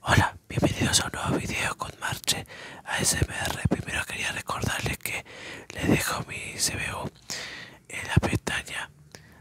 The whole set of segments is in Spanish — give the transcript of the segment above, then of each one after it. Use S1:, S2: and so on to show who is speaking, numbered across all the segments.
S1: Hola, bienvenidos a un nuevo video con Marche ASMR. Primero quería recordarles que les dejo mi CBU en la pestaña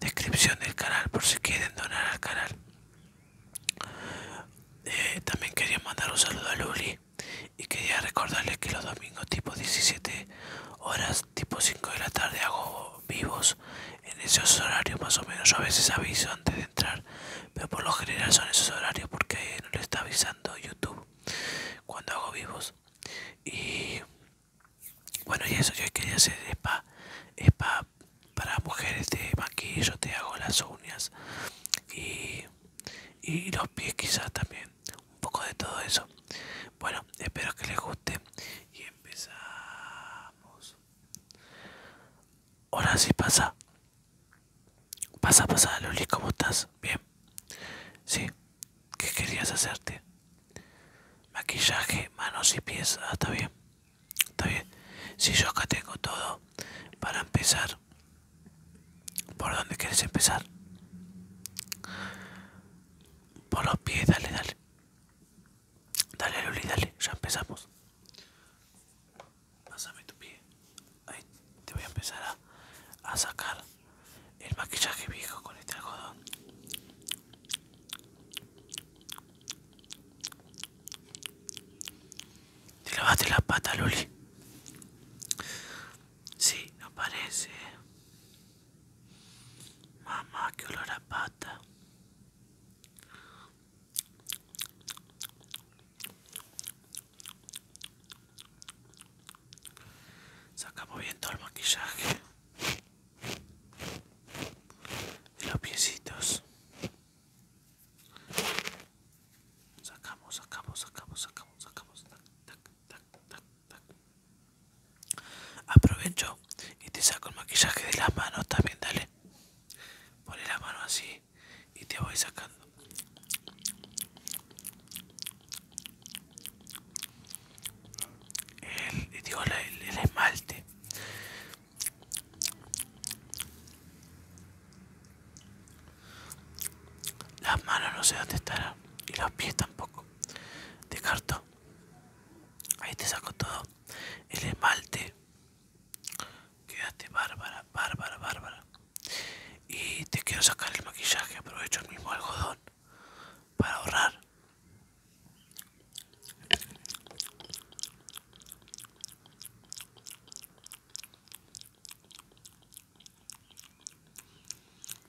S1: descripción del canal por si quieren donar al canal. Eh, también quería mandar un saludo a Luli y quería recordarles que los domingos tipo 17 horas, tipo 5 de la tarde hago vivos en esos horarios más o menos. Yo a veces aviso antes de entrar pero por lo general son esos horarios porque no lo está avisando YouTube cuando hago vivos y bueno y eso yo quería hacer spa para mujeres de maquillo te hago las uñas y, y los pies quizás también un poco de todo eso bueno espero que les guste y empezamos Ahora sí pasa. Pasa, pasa, Loli, ¿cómo estás? Bien. Sí. ¿Qué querías hacerte? Maquillaje, manos y pies. Ah, está bien. Está bien. Si yo acá tengo todo para empezar. ¿Por dónde quieres empezar? Por los pies, dale, dale. Dale, Luli, dale, ya empezamos. Pásame tu pie. te voy a empezar a, sacar el maquillaje viejo con este algodón. Te lavaste la pata, Luli. Sí, no parece. Mamá, que olor a pata. Sacamos bien todo el maquillaje de los piecitos. Sacamos, sacamos, sacamos, sacamos, sacamos. Aprovecho y te saco el maquillaje de las manos también, dale. Pone la mano así y te voy sacando. El, el, esmalte. Las manos no sé dónde estarán y los pies tampoco. Descarto. Ahí te saco todo. El esmalte. Quédate bárbara, bárbara, bárbara. Y te quiero sacar el maquillaje, aprovecho el mismo algodón para ahorrar.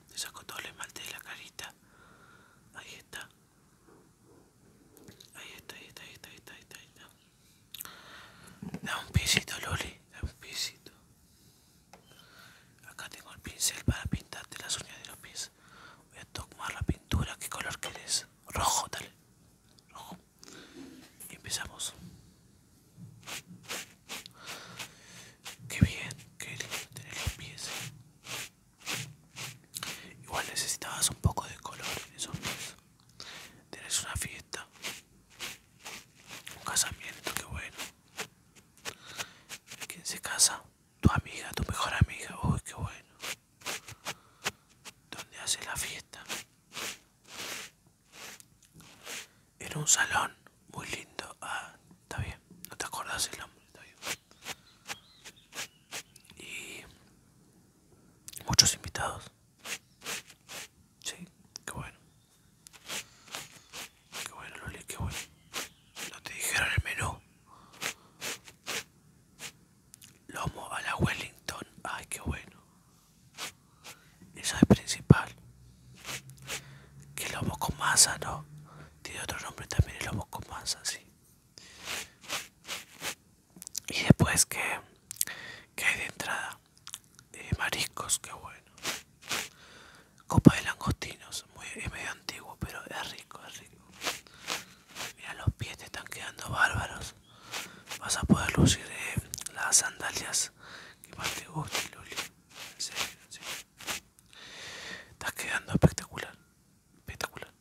S1: Te saco todo el esmalte de la carita. Ahí está. Ahí está, ahí está, ahí está, ahí está, ahí está. Ahí está. Da un pisito, Loli, da un pisito. Acá tengo el pincel para pintarte las uñas de los pies. Voy a tomar la pintura. ¿Qué color quieres? Rojo, dale. Rojo. Y empezamos. Qué bien, qué lindo tener los pies. ¿eh? Igual necesitabas un poco de color en esos pies. Tienes una fiesta, un casamiento, que bueno. ¿Quién se casa? Tu amiga, tu mejor amiga, uy, qué bueno. ¿Dónde hace la fiesta? En un salón muy lindo. Ah, está bien, no te acordás el nombre, está bien. Y muchos invitados. Sí, qué bueno. Qué bueno, Loli, qué bueno. No te dijeron el menú. Lomo a la Wellington. Ay, qué bueno. esa es principal. Que lomo con masa, ¿no? Tiene otro nombre también el lomo con masa, sí y después que hay de entrada eh, mariscos qué bueno copa de langostinos muy, es medio antiguo pero es rico es rico mira los pies te están quedando bárbaros vas a poder lucir eh, las sandalias que más te gusten Luli estás quedando espectacular espectacular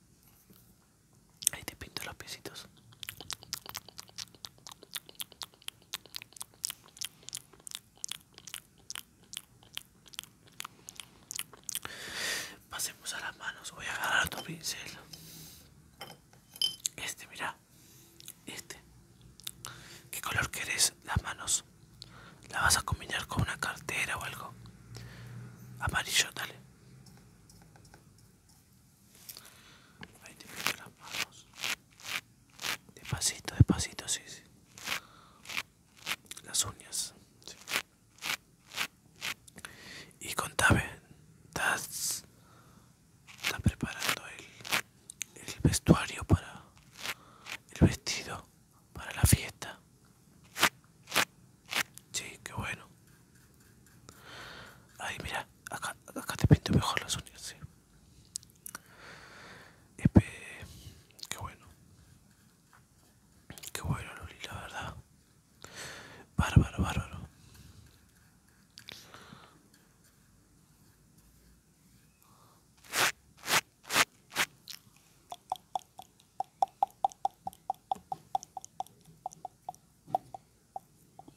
S1: Ahí te pinto los piecitos. Pasemos a las manos. Voy a agarrar tu pincel. Este, mira. Este. ¿Qué color querés las manos? La vas a combinar con una cartera o algo. Amarillo, dale. Ahí te meto las manos. Despacito, despacito, sí, sí. Las uñas. Sí. Y contame, ¿estás, estás preparando el, el vestuario para el vestido para la fiesta? Sí, qué bueno. Ay mira, acá, acá te pinto mejor las uñas, sí. qué bueno. Qué bueno, Loli, la verdad. Bárbaro, bárbaro.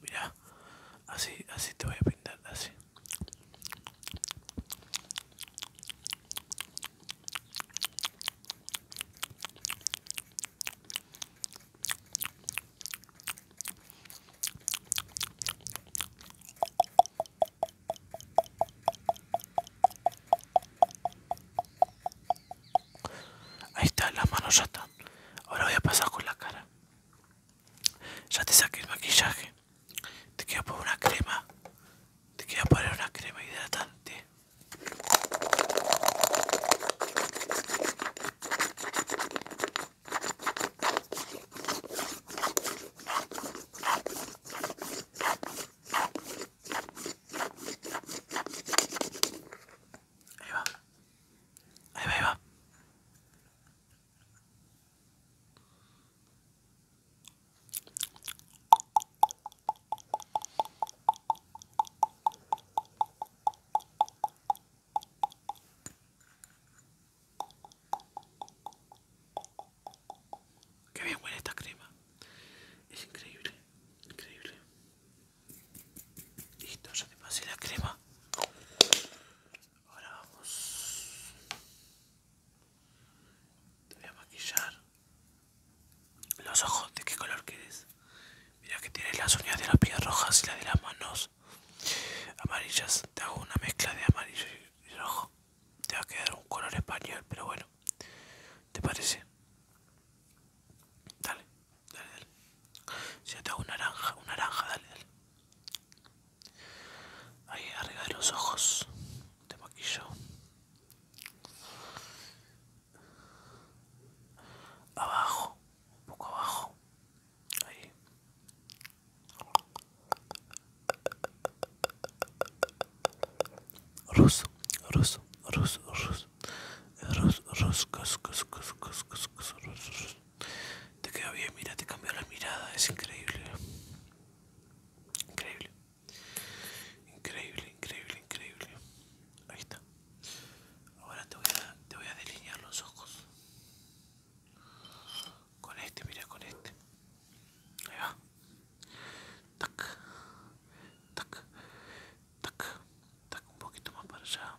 S1: Mira, así, así te voy a pintar, así. Ahí está, las manos ya están. Ahora voy a pasar con la cara. Ya te saqué el maquillaje. Te quiero poner una crema. Te quiero poner una crema hidratante. Ahí va. Ahí va, Qué bien huele esta crema. Es increíble, increíble. Listo, ya te pasé la crema. Ahora vamos. Te voy a maquillar. Los ojos, ¿de qué color quieres? Mira que tienes las uñas de las pies rojas y las de las manos amarillas. Te hago una mezcla de amarillo y rojo. Te va a quedar un color español, pero bueno. ¿Te parece? Dale, Dale, Si yo te hago naranja, una naranja, dale, Ahí arriba de los ojos. de maquillo. Abajo, un poco abajo. Ahí. Ruso, ruso, ruso, ruso. Ruso, ruso, ruso, ruso, ruso, ruso, ruso, te queda bien, mira, te cambió la mirada, es increíble. Increíble. Increíble, increíble, increíble. Ahí está. Ahora te voy a, te voy a delinear los ojos. Con este, mira, con este. Ahí va. Tac, tac, tac, tac. Un poquito más para allá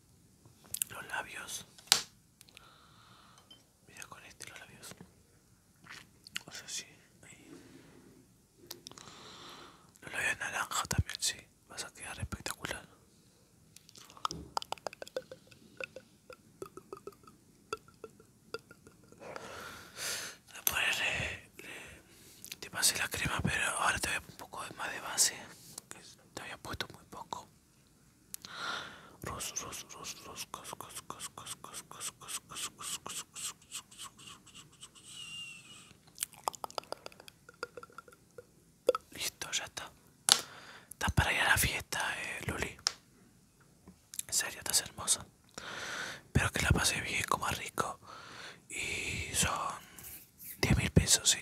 S1: los labios. Mira con este los labios. O sea, Los labios naranja también, si Vas a quedar espectacular. Después le, te pasé la crema, pero ahora te voy a poner un poco más de base. Te había puesto muy poco. Listo, ya está. Estás para ir a la fiesta, eh, Luli. En serio, estás hermosa. Espero que la pases bien, comas rico. Y son 10 mil pesos, sí.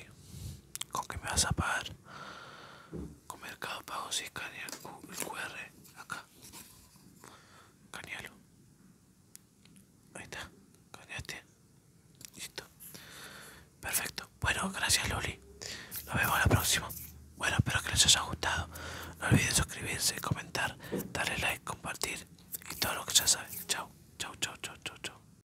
S1: ¿Con que me vas a pagar? Con Mercado Pago, si escanea el QR. Acá. cañalo, Ahí está. Cañate Listo. Perfecto. Bueno, gracias Loli. Nos vemos la próxima. Bueno, espero que les haya gustado. No olviden suscribirse, comentar, darle like, compartir y todo lo que ya saben. chau, chao, chao, chao, chao, chao.